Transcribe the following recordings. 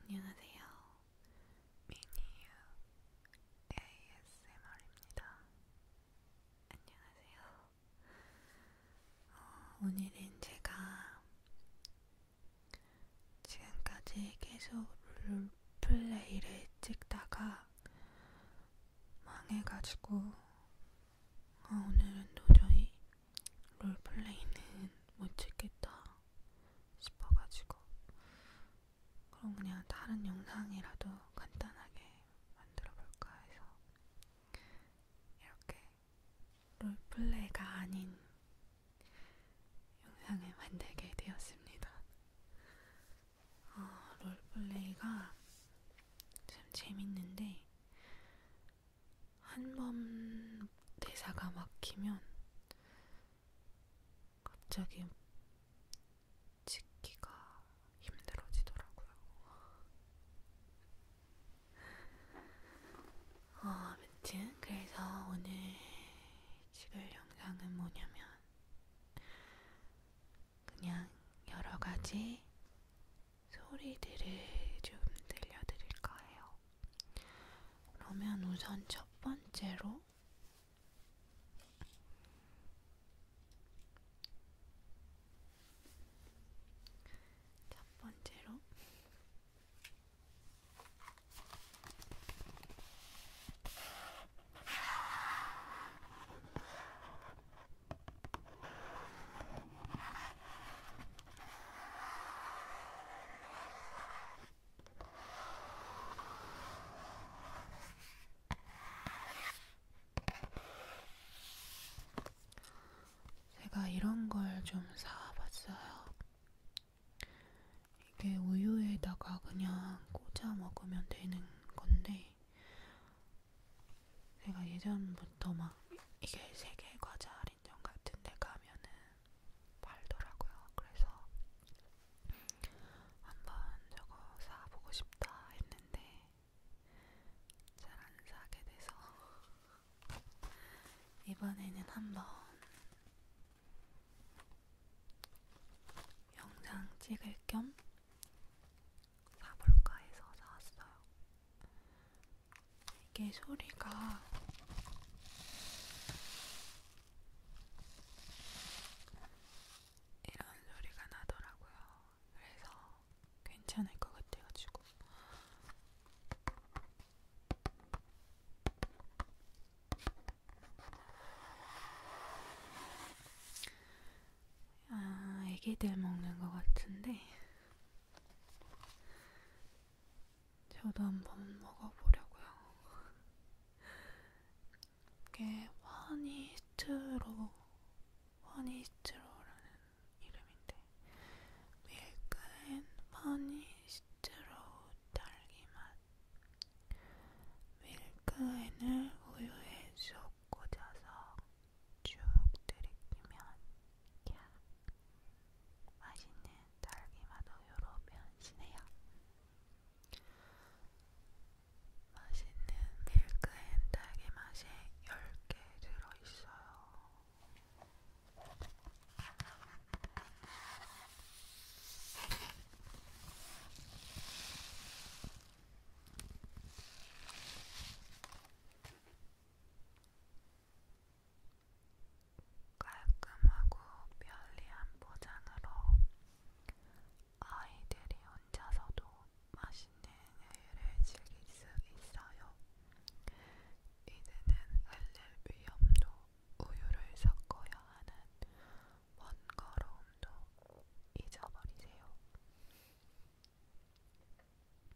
안녕하세요. 미니유 ASMR입니다. 안녕하세요. 어, 오늘은 제가 지금까지 계속 롤플레이를 찍다가 망해가지고 어, 오늘은 도저히 롤플레이는 못 찍겠다 싶어가지고 그럼 그냥 다른 영상이라도 간단하게 만들어볼까 해서 이렇게 롤플레이가 아닌 영상을 만들게 되었습니다. 어, 롤플레이가 참 재밌는데 한번 대사가 막히면 갑자기 찍기가 힘들어지더라고요. 어, 아무튼 그래서 오늘 찍을 영상은 뭐냐면 그냥 여러 가지 소리들을 좀 들려드릴 거예요. 그러면 우선 첫 번째로 첫 번째로 제가 이런 걸 좀 사와봤어요. 이게 우유에다가 그냥 꽂아 먹으면 되는 건데, 제가 예전부터 막 이게 세계 과자 할인점 같은 데 가면은 팔더라고요. 그래서 한번 저거 사보고 싶다 했는데 잘 안 사게 돼서 이번에는 한번 영상 찍을 겸 사볼까 해서 사왔어요. 이게 소리가 이런 소리가 나더라고요. 그래서 괜찮을 것 같아가지고. 아, 애기들 먹는 것 같은데 저도 한 번 먹어보려고요. 이게 허니스트로, 허니스트로라는 이름인데 밀크앤 허니스트로 딸기맛 밀크앤을 우유에 쏙 꽂아서 쭉 들이키면 야, 맛있는 딸기맛 우유로 변신해요. 맛있는 밀크앤 딸기맛이 10개 들어있어요. 깔끔하고 편리한 포장으로 아이들이 혼자서도 맛있는 우유를 즐길 수 있어요. 이제는 흘릴 위험도 우유를 섞어야 하는 번거로움도 잊어버리세요.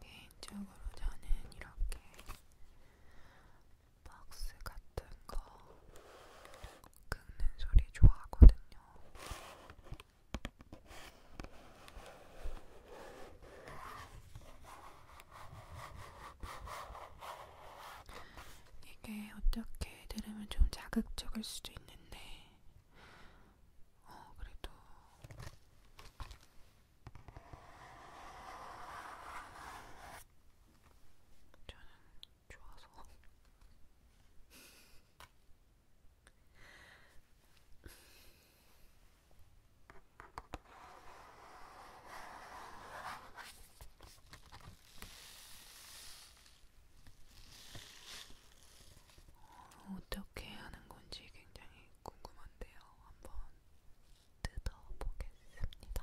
개인적으로 저는 이렇게 박스 같은 거 긁는 소리 좋아하거든요. 이게 어떻게 들으면 좀 자극적일 수도 있는데, 어, 그래도 저는 좋아서 어떻게 하는 건지 굉장히 궁금한데요. 한번 뜯어보겠습니다.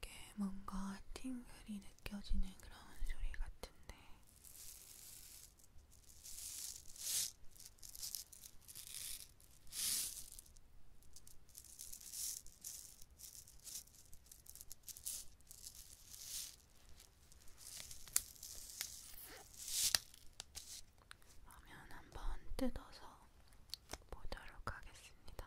이게 뭔가 팅글이 느껴지는 그런 소리 같은데, 그러면 한번 뜯어서 보도록 하겠습니다.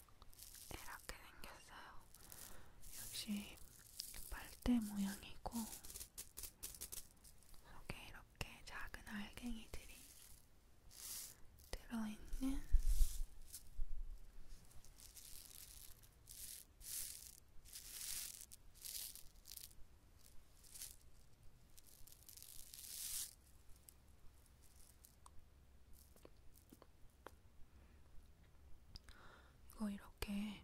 이렇게 생겼어요. 역시 빨대 모양이고 속에 이렇게 작은 알갱이들이 들어있는 이거 이렇게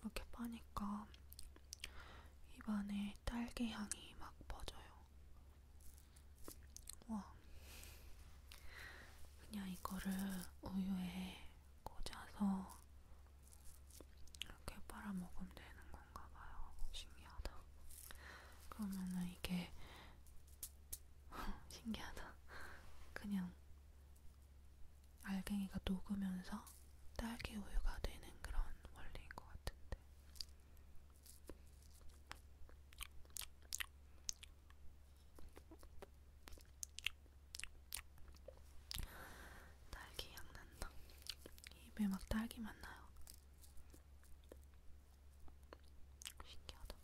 이렇게 빠니까 입안에 딸기 향이 막 퍼져요. 와, 그냥 이거를 우유에 꽂아서 이렇게 빨아 먹으면 되는 건가 봐요. 신기하다. 그러면은 이게 신기하다. 그냥 알갱이가 녹으면서 딸기 우유가 되는 그런 원리인 것 같은데. 딸기 향 난다. 입에 막 딸기 맛 나요. 신기하다.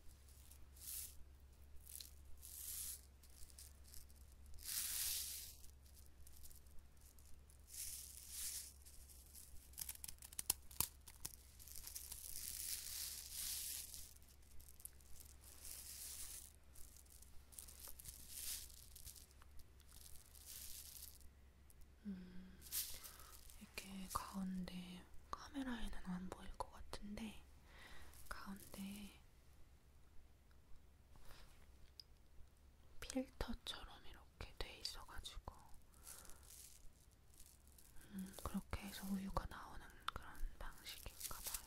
음, 이렇게 가운데 카메라에는 안 보일 것 같은데 가운데 필터처럼 이렇게 돼 있어가지고 음, 그렇게 해서 우유가 나오는 그런 방식인가 봐요.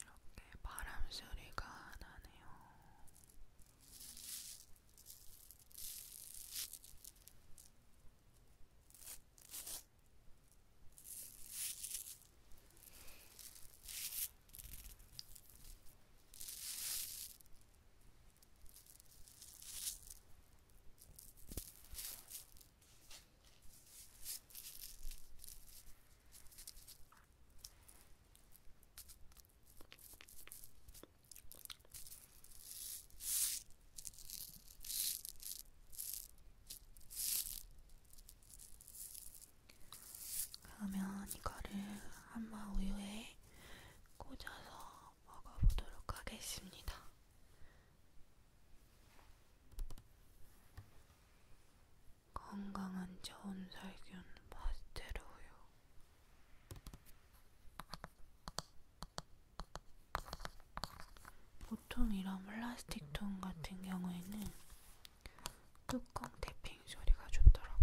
이렇게 바람 소리가 나네요. 그러면 이거를 한마 우유에 꽂아서 먹어보도록 하겠습니다. 건강한 저온살균 파스텔우유 보통 이런 플라스틱통 같은 경우에는 뚜껑 태핑 소리가 좋더라고요.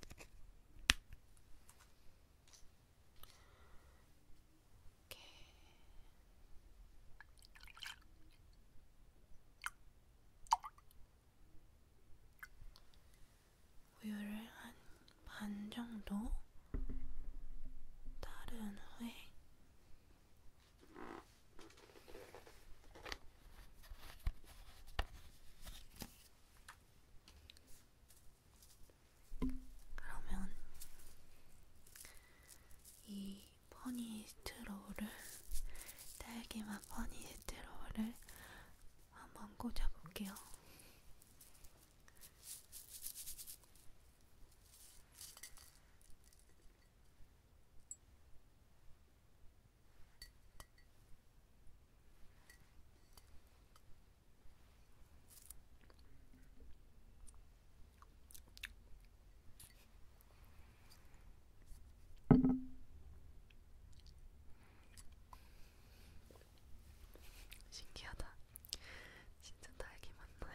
이렇게 우유를 한 반 정도 따른 후에 그러면 이 퍼니스트롤을 딸기맛 퍼니스트롤을 한번 꽂아볼게요. 신기하다. 진짜 딸기 맞나요?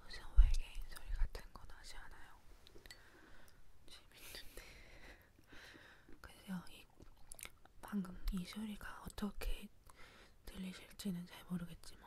무슨 외계인 소리 같은 건 하지 않아요. 재밌는데. 그래서 이 방금 이 소리가 어떻게 들리실지는 잘 모르겠지만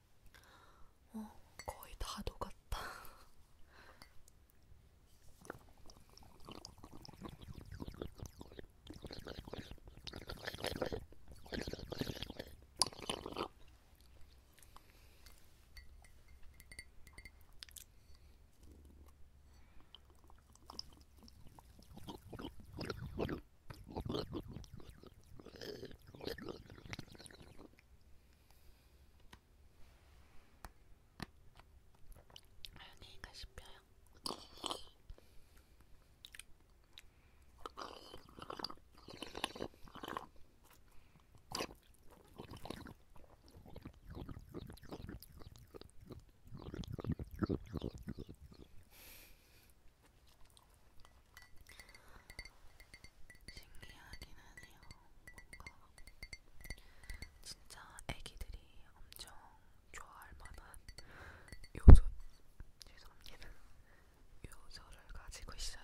어, 거의 다 녹았다. 안녕히 가십시오. 신기하긴 하네요. 뭔가 진짜 애기들이 엄청 좋아할 만한 요소 죄송합니다 요소를 가지고 있어요.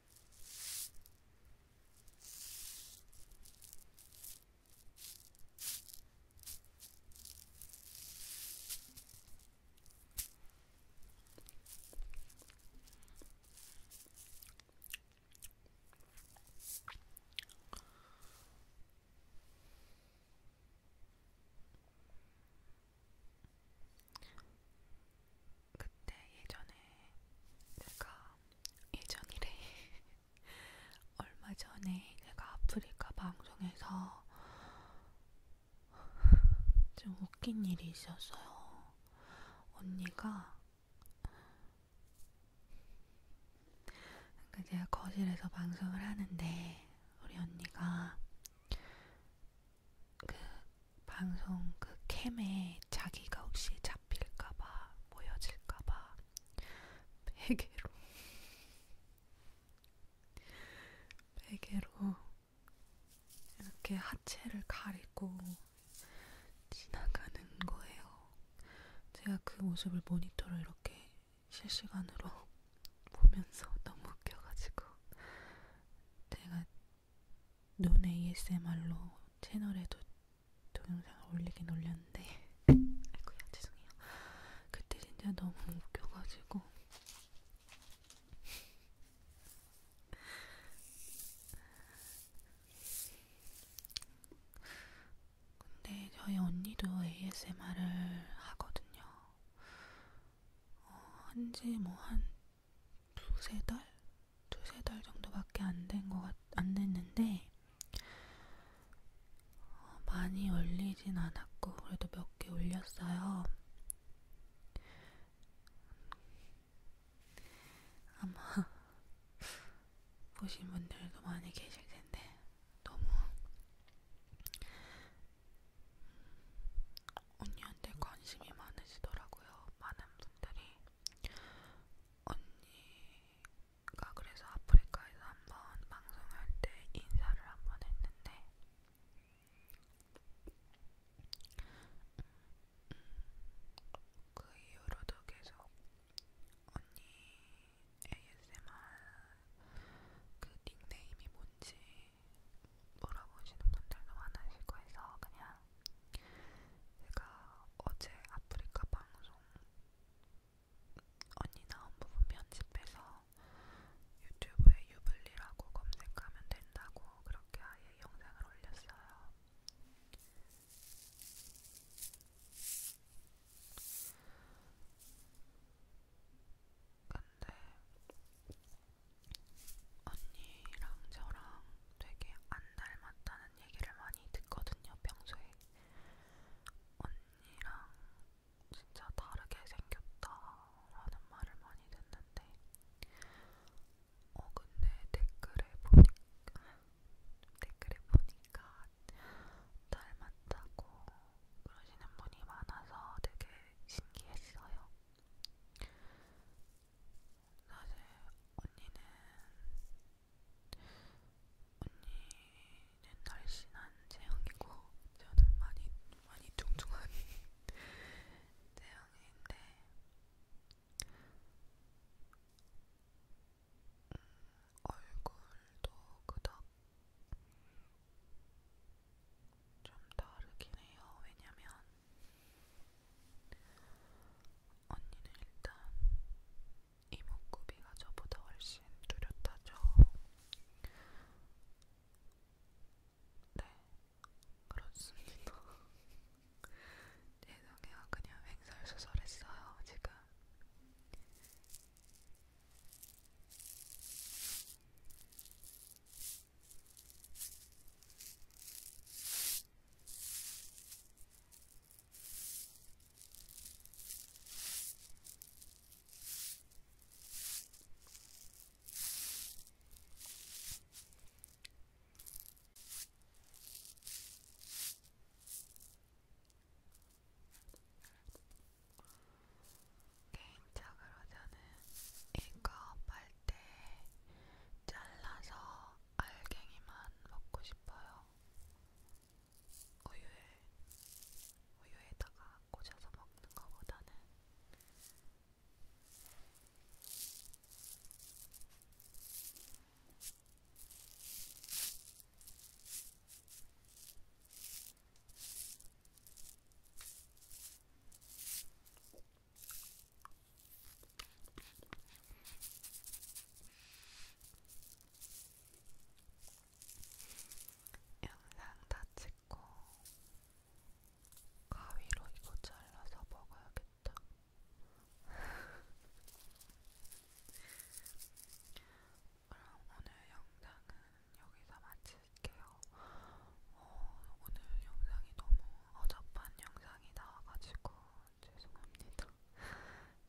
그때 예전에 내가 예전 일에 얼마 전에 내가 아프리카 방송에서 좀 웃긴 일이 있었어요. 언니가 그러니까 제가 거실에서 방송을 하는데 우리 언니가 그 방송 그 캠에 자기가 혹시 잡힐까봐 모여질까봐 베개로 베개로 이렇게 하체를 가리고 지나가는 거예요. 제가 그 모습을 모니터로 이렇게 실시간으로 보면서 너무 웃겨가지고 제가 눈 ASMR로 채널에도 동영상을 올리긴 올렸는데 아이고야 죄송해요. 그때 진짜 너무 웃겨가지고 근데 저희 언니도 ASMR을 하거든요. 어, 한지 뭐 한 두세 달? 두세 달 정도밖에 안 된것안 됐는데 어, 많이 올리진 않았고 그래도 몇 개 올렸어요. 아마 보신 분들도 많이 계실 텐데 너무 언니한테 관심이 많으시더라고요. 많은 분들이 언니가 그래서 아프리카에서 한번 방송할 때 인사를 한번 했는데 음, 음 그 이후로도 계속 언니 ASMR 그 닉네임이 뭔지 물어보시는 분들도 많으시고 해서 그냥 제가 어제 아프리카 방송 언니 나온 부분 편집해서 유튜브에 유블리라고 검색하면 된다고 그렇게 아예 영상을 올렸어요. 근데 언니랑 저랑 되게 안 닮았다는 얘기를 많이 듣거든요, 평소에. 언니랑 진짜 다르게 생겼다라는 말을 많이 듣는데, 어, 근데 댓글에 보니까, 댓글에 보니까 닮았다고 그러시는 분이 많아서 되게 신기했어요. 사실 언니는 언니는 날씬한 체형이고 저는 많이 많이 뚱뚱한 체형인데 음, 얼굴도 그닥 좀 다르긴 해요. 왜냐면 언니는 일단 이목구비가 저보다 훨씬 뚜렷하죠. 네, 그렇습니다. 죄송해요, 그냥 횡설수설했어요, 지금. 개인적으로저는 이거 빨대 잘라서 알갱이만 먹고 싶어요. 우유에, 우유에다가 꽂아서 먹는 것보다는 영상 다 찍고 가위로 이거 잘라서 먹어야겠다. 그럼 오늘 영상은 여기서 마칠게요. 어, 오늘 영상이 너무 어젯밤 영상이 나와가지고 죄송합니다.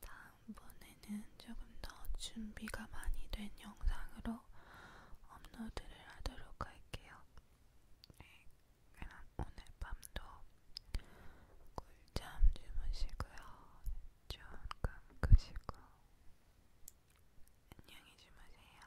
다음번에는 조금 더 준비가 많이 된 영상으로 업로드를 하도록 할게요. 네, 그럼 오늘 밤도 꿀잠 주무시고요. 조금 끄시고 안녕히 주무세요.